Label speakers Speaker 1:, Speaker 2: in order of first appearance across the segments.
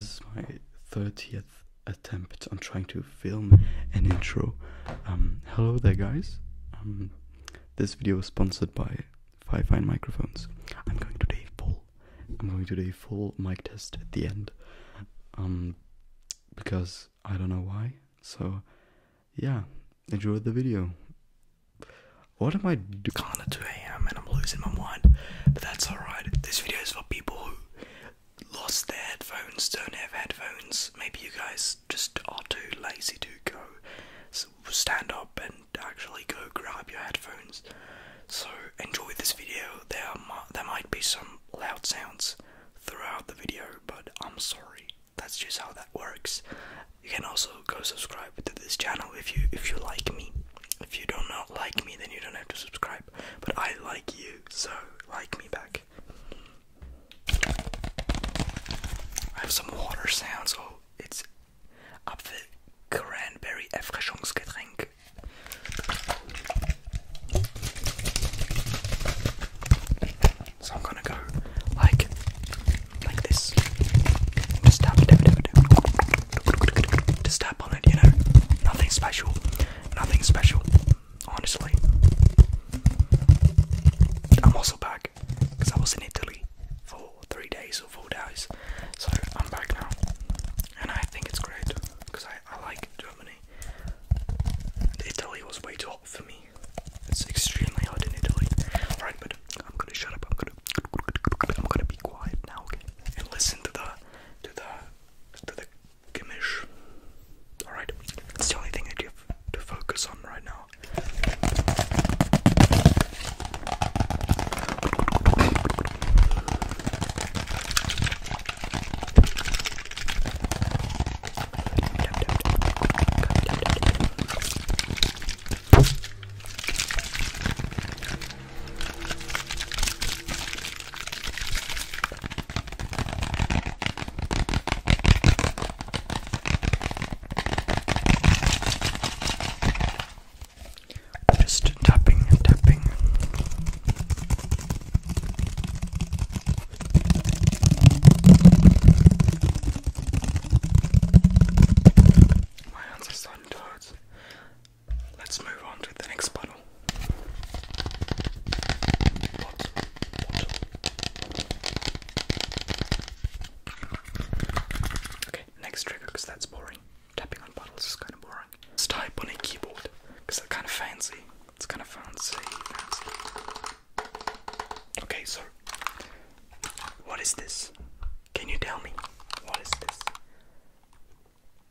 Speaker 1: This is my 30th attempt on trying to film an intro. Um, hello there, guys. Um, this video is sponsored by Five Fine Microphones. I'm going to do a full. I'm going to do a full mic test at the end. Um, because I don't know why. So, yeah, enjoy the video. What am I doing? It's kind a.m. and I'm losing my mind, but that's alright. This video is for people who lost their headphones, don't have headphones. Maybe you guys just are too lazy to go stand up and actually go grab your headphones. So enjoy this video. There there might be some loud sounds throughout the video, but I'm sorry. That's just how that works. You can also go subscribe to this channel if you if you like me. If you do not like me, then you don't have to subscribe. But I like you, so like me back. I have some water sounds. Oh, it's Apfel Cranberry Erfrischungsgetränk. So I'm gonna go like like this. Just tap, Just tap, on it, you know? Nothing special. Nothing special, honestly. I'm also back because I was in Italy for three days or four days. So I'm back now. And I think it's great because I, like Germany. Italy was way too hot for me. It's extremely hot in Italy. Alright, but I'm gonna shut up. I'm gonna I'm gonna be quiet now, And listen to the to the to the Gimish. Alright, that's the only thing I have to focus on right now. I'm Just tapping and tapping. My hands are so tired. Let's move on to the next bottle. Okay, next trigger because that's boring. Tapping on puddles is kind of boring. type on a keyboard because that's kind of fancy. It's kind of fancy. Okay, so what is this? Can you tell me what is this?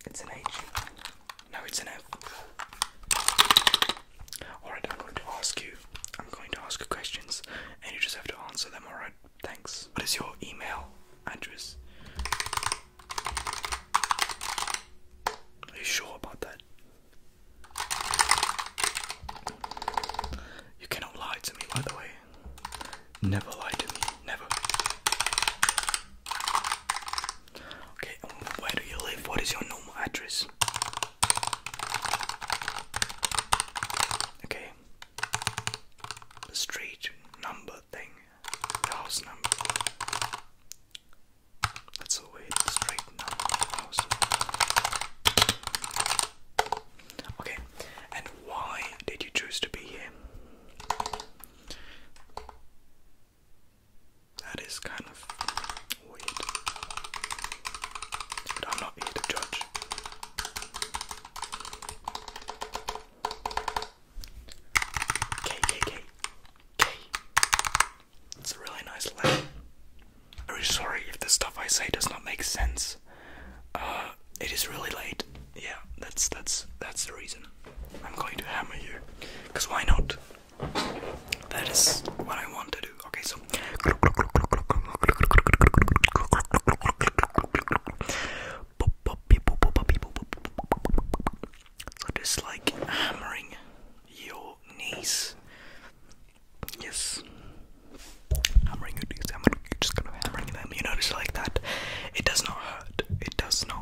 Speaker 1: It's an H. No, it's an F. Alright, I'm going to ask you. I'm going to ask you questions and you just have to answer them, alright? Thanks. What is your email address? Are you sure about that? You cannot lie to me, by the way. Never lie to me. Never. Okay, um, where do you live? What is your normal address? Okay. The street number thing. house number. That's all weird. The street number house. Okay. And why did you choose to be here? That is kind of weird. But I'm not here to judge. K, K, K, K. It's a really nice letter. I'm sorry if the stuff I say does not make sense. Uh, it is really late yeah, that's that's that's the reason. I'm going to hammer you, cause why not? That is what I want to do. Okay, so. So just like hammering your knees. Yes. Hammering your knees. I'm just gonna hammering them. You notice like that. It does not hurt. It does not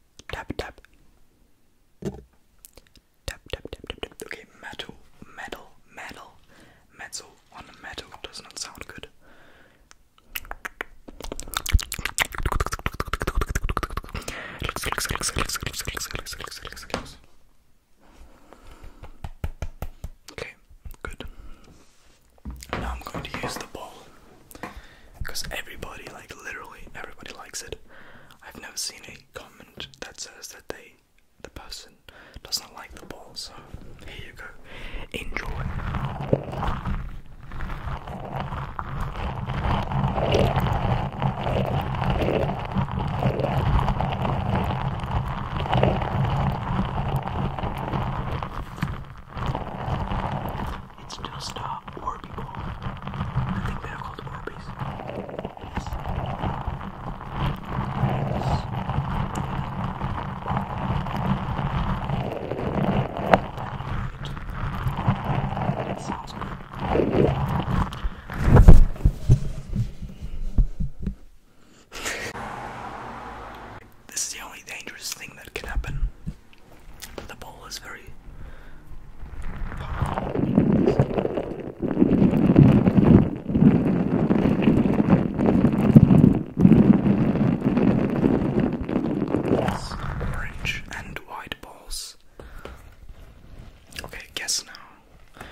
Speaker 1: Tap tap. Tap tap tap tap tap. Okay, metal, metal, metal, metal on metal does not sound good. Okay, good. Now I'm going to use the ball because everybody, like literally everybody, likes it. I've never seen a comment that says that they, the person, does not like the ball. So here you go. Enjoy. It's just uh, orbital. I think called Orbeez. Yes. this is the only dangerous thing that can happen. The ball is very. Orange and white balls. Okay, guess now.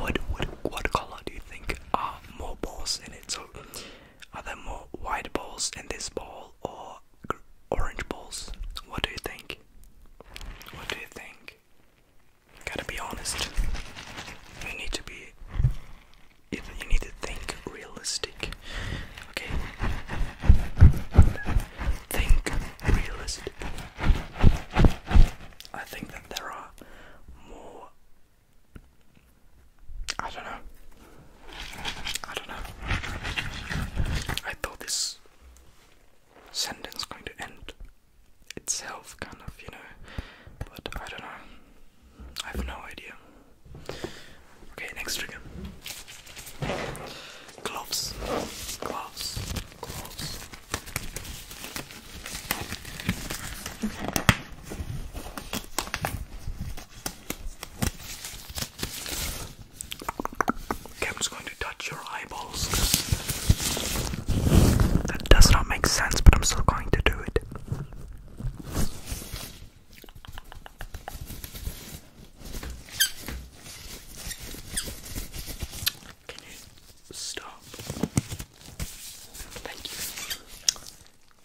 Speaker 1: What what what color do you think are more balls in it? So, are there more white balls in this ball or orange balls. What do you think? What do you think? Gotta be honest. You need to be. You need to think realistic. Okay? Think realistic. I think that there are more I don't know. I don't know. I thought this sentence going to end itself, kind of, you know. But I don't know. I have no idea. Okay, next trigger. Gloves. Gloves. Gloves. Okay, I'm just going to touch your eyeballs. That does not make sense, but I'm still going to do it. Can you stop? Thank you. I'm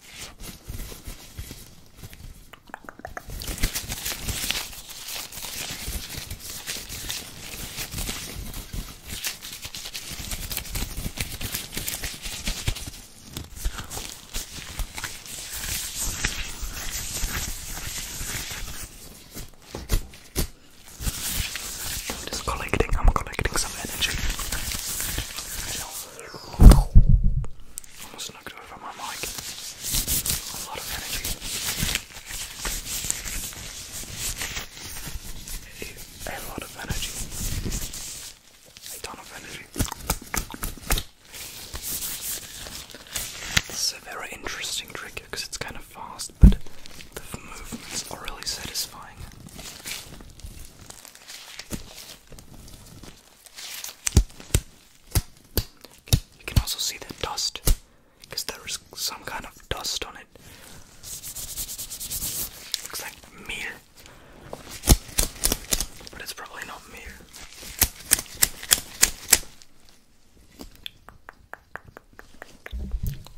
Speaker 1: just collecting, I'm collecting some energy. Almost a lot of energy. A ton of energy. It's a very interesting trick because it's kind of fast, but the movements are really satisfying. You can also see the dust because there is some kind of dust on it. Looks like meal, but it's probably not meal.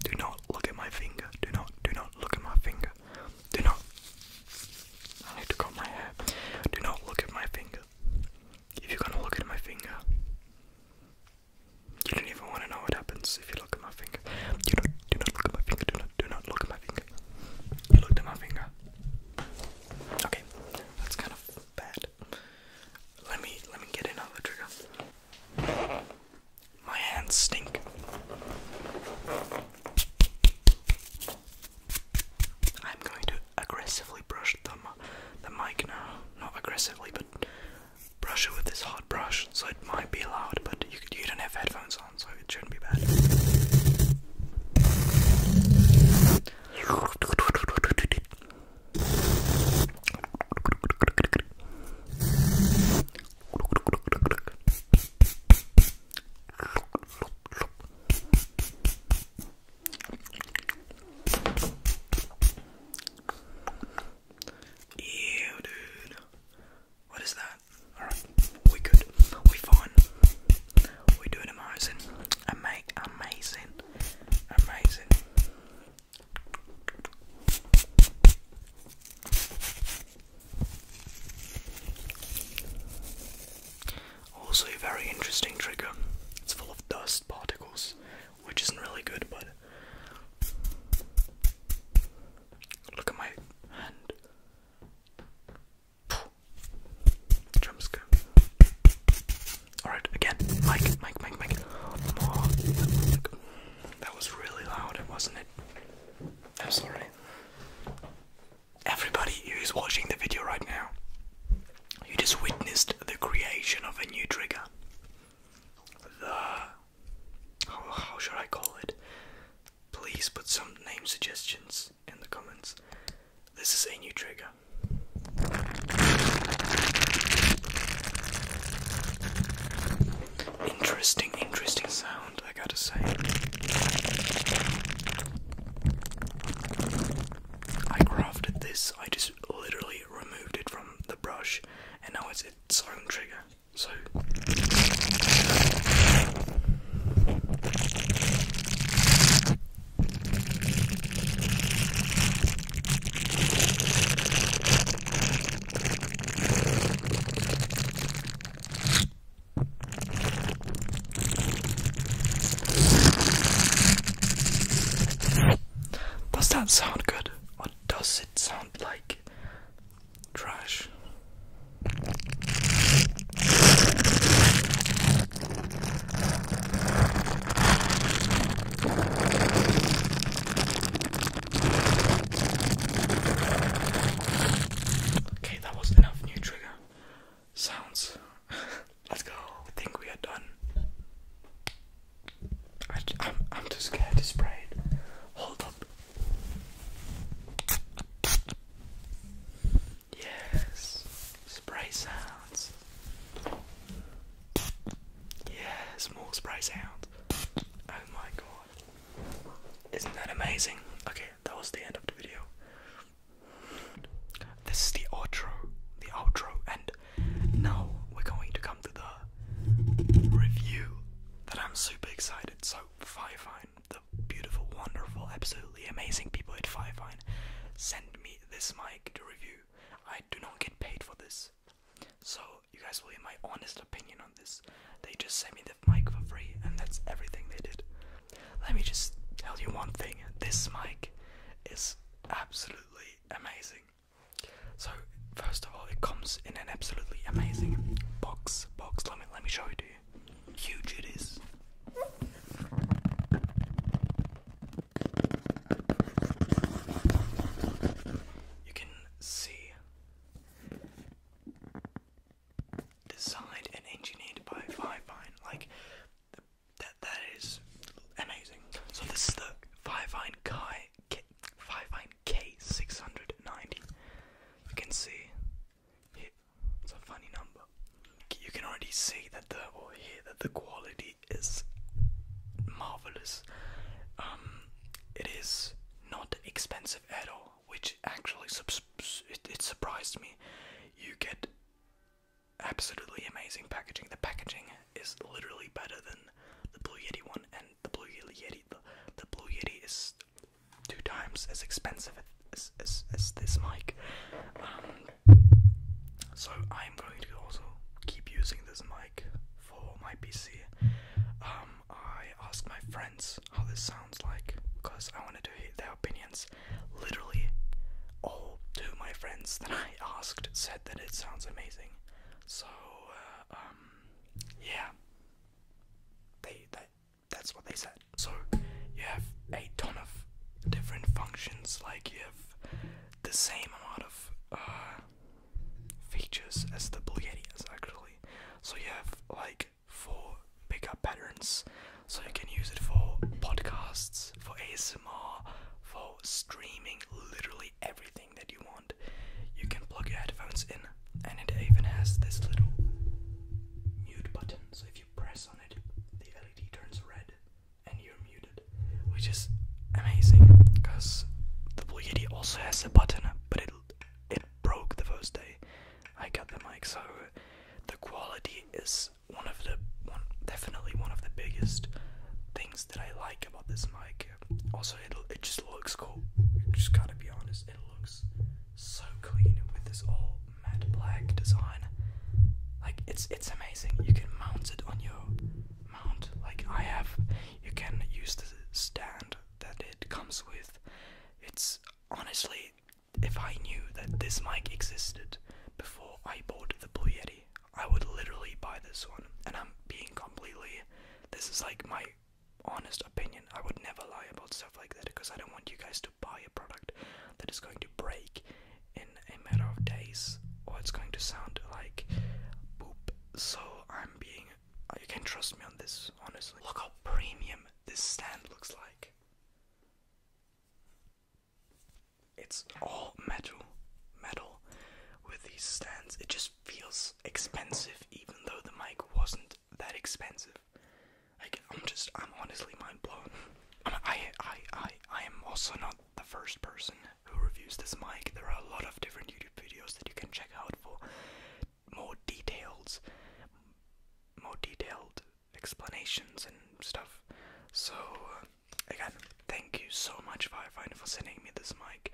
Speaker 1: Do not look at my finger. Do not, do not look at my finger. Do not. I need to comb my hair. Do not look at my finger finger. If you're gonna look at my finger, you don't even want to know what happens if you look at my finger. Do not, do not look at my finger. Do not, do not look at my finger. You looked at my finger. Okay, that's kind of bad. Let me, let me get another trigger. My hands stink. I'm going to aggressively brush the, mic now. Not aggressively, but brush it with this hot brush, so it might be loud, but you don't have headphones on, so it shouldn't be bad. Ew, dude. What is that? Alright, we good. We fine. We're doing amazing. Ama amazing. Amazing. Also, a very interesting trigger. It's full of dust particles, which isn't really good, but. Look at my hand. Jump scare. Alright, again. Mike, Mike, Mike, Mike. That was really loud, wasn't it? I'm Everybody who is watching the video right now, you just witnessed the creation of a new trigger. The. How, should I call it? Please put some name suggestions in the comments. This is a new trigger. Interesting, interesting sound, I gotta say. I crafted this, I just literally removed it from the brush, and now it's its own trigger. So. Does that sound good What does it sound like trash? Okay, that was enough new trigger sounds. Let's go. I think we are done. I, am I'm too scared to spray it. Hold up. Yes. Spray sounds. Yes, more spray sounds. Oh my god. Isn't that amazing? Okay, that was the end of the video. This is the outro, the outro, and now we're going to come to the review that I'm super excited. So Firefine, the beautiful, wonderful, absolutely amazing people at Firefine, sent me this mic to review. I do not get paid for this, so you guys will hear my honest opinion on this. They just sent me the mic for free, and that's everything they did let me just tell you one thing this mic is absolutely amazing. So, first of all, it comes in an absolutely amazing box. Box, let me, let me show it to you. Huge it is. You can see designed and engineered by Vivine. Like that that is amazing. So this is the Fivevine Nine K Fivevine K six hundred ninety. You can see it's a funny number. You can already see that the or hear that the quality is marvelous. Um, it is not expensive at all, which actually it, it surprised me. You get absolutely amazing packaging. The packaging is literally better than the Blue Yeti one, and the Blue Yeti the, the Blue Yeti is two times as expensive as as, this mic. Um, so I am going to also keep using this mic for my PC. Um, I asked my friends how this sounds like because I wanted to hear. They opinions. Literally, all two my friends that I asked said that it sounds amazing. So, uh, um, yeah, they that that's what they said. So you have a ton of different functions. Like you have the same amount of uh, features as the is actually. So you have like four pickup patterns. So you can use it for podcasts, for ASMR, for streaming, literally everything that you want. You can plug your headphones in, and it even has this little mute button. So if you press on it, the LED turns red and you're muted, which is amazing because the Blue Yeti also has a button, but it it broke the first day I got the mic, so the quality is one of the definitely one of the biggest things that I like about this mic. Also, it it just looks cool. Just gotta be honest, it looks so clean with this all matte black design. Like it's it's amazing. You can mount it on your mount. Like I have, you can use the stand that it comes with. It's honestly if I knew that this mic existed before I bought the Blue Yeti, I would literally buy this one. And I'm being completely, this is like my honest opinion. I would never lie about stuff like that because I don't want you guys to buy a product that is going to break in a matter of days or it's going to sound like boop. So I'm being, you can trust me on this, honestly. Look how premium this stand looks like. It's all metal, metal with these stands. It just feels expensive, even though the mic wasn't that expensive. Like I'm just, I'm honestly mind blown. I'm, I, I, I am also not the first person who reviews this mic. There are a lot of different YouTube videos that you can check out for more details, more detailed explanations and stuff. So, uh, again, thank you so much, Firefinder, for sending me this mic.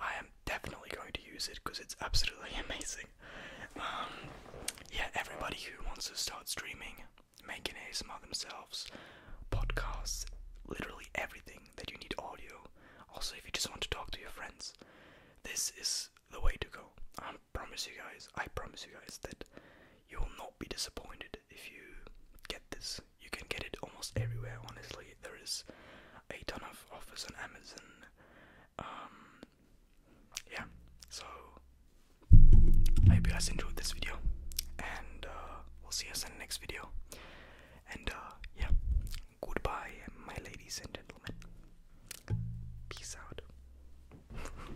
Speaker 1: I am definitely going to use it because it's absolutely amazing. Um, yeah, everybody who wants to start streaming, making ASMR themselves, podcasts, literally everything that you need audio. Also, if you just want to talk to your friends, this is the way to go. Um, promise you guys, I promise you guys that you will not be disappointed if you get this. You can get it almost everywhere, honestly. There is a ton of offers on Amazon. Um, yeah, so I hope you guys enjoyed this video, and uh, we'll see you guys in the next video. And uh, yeah, goodbye, my ladies and gentlemen. Peace out.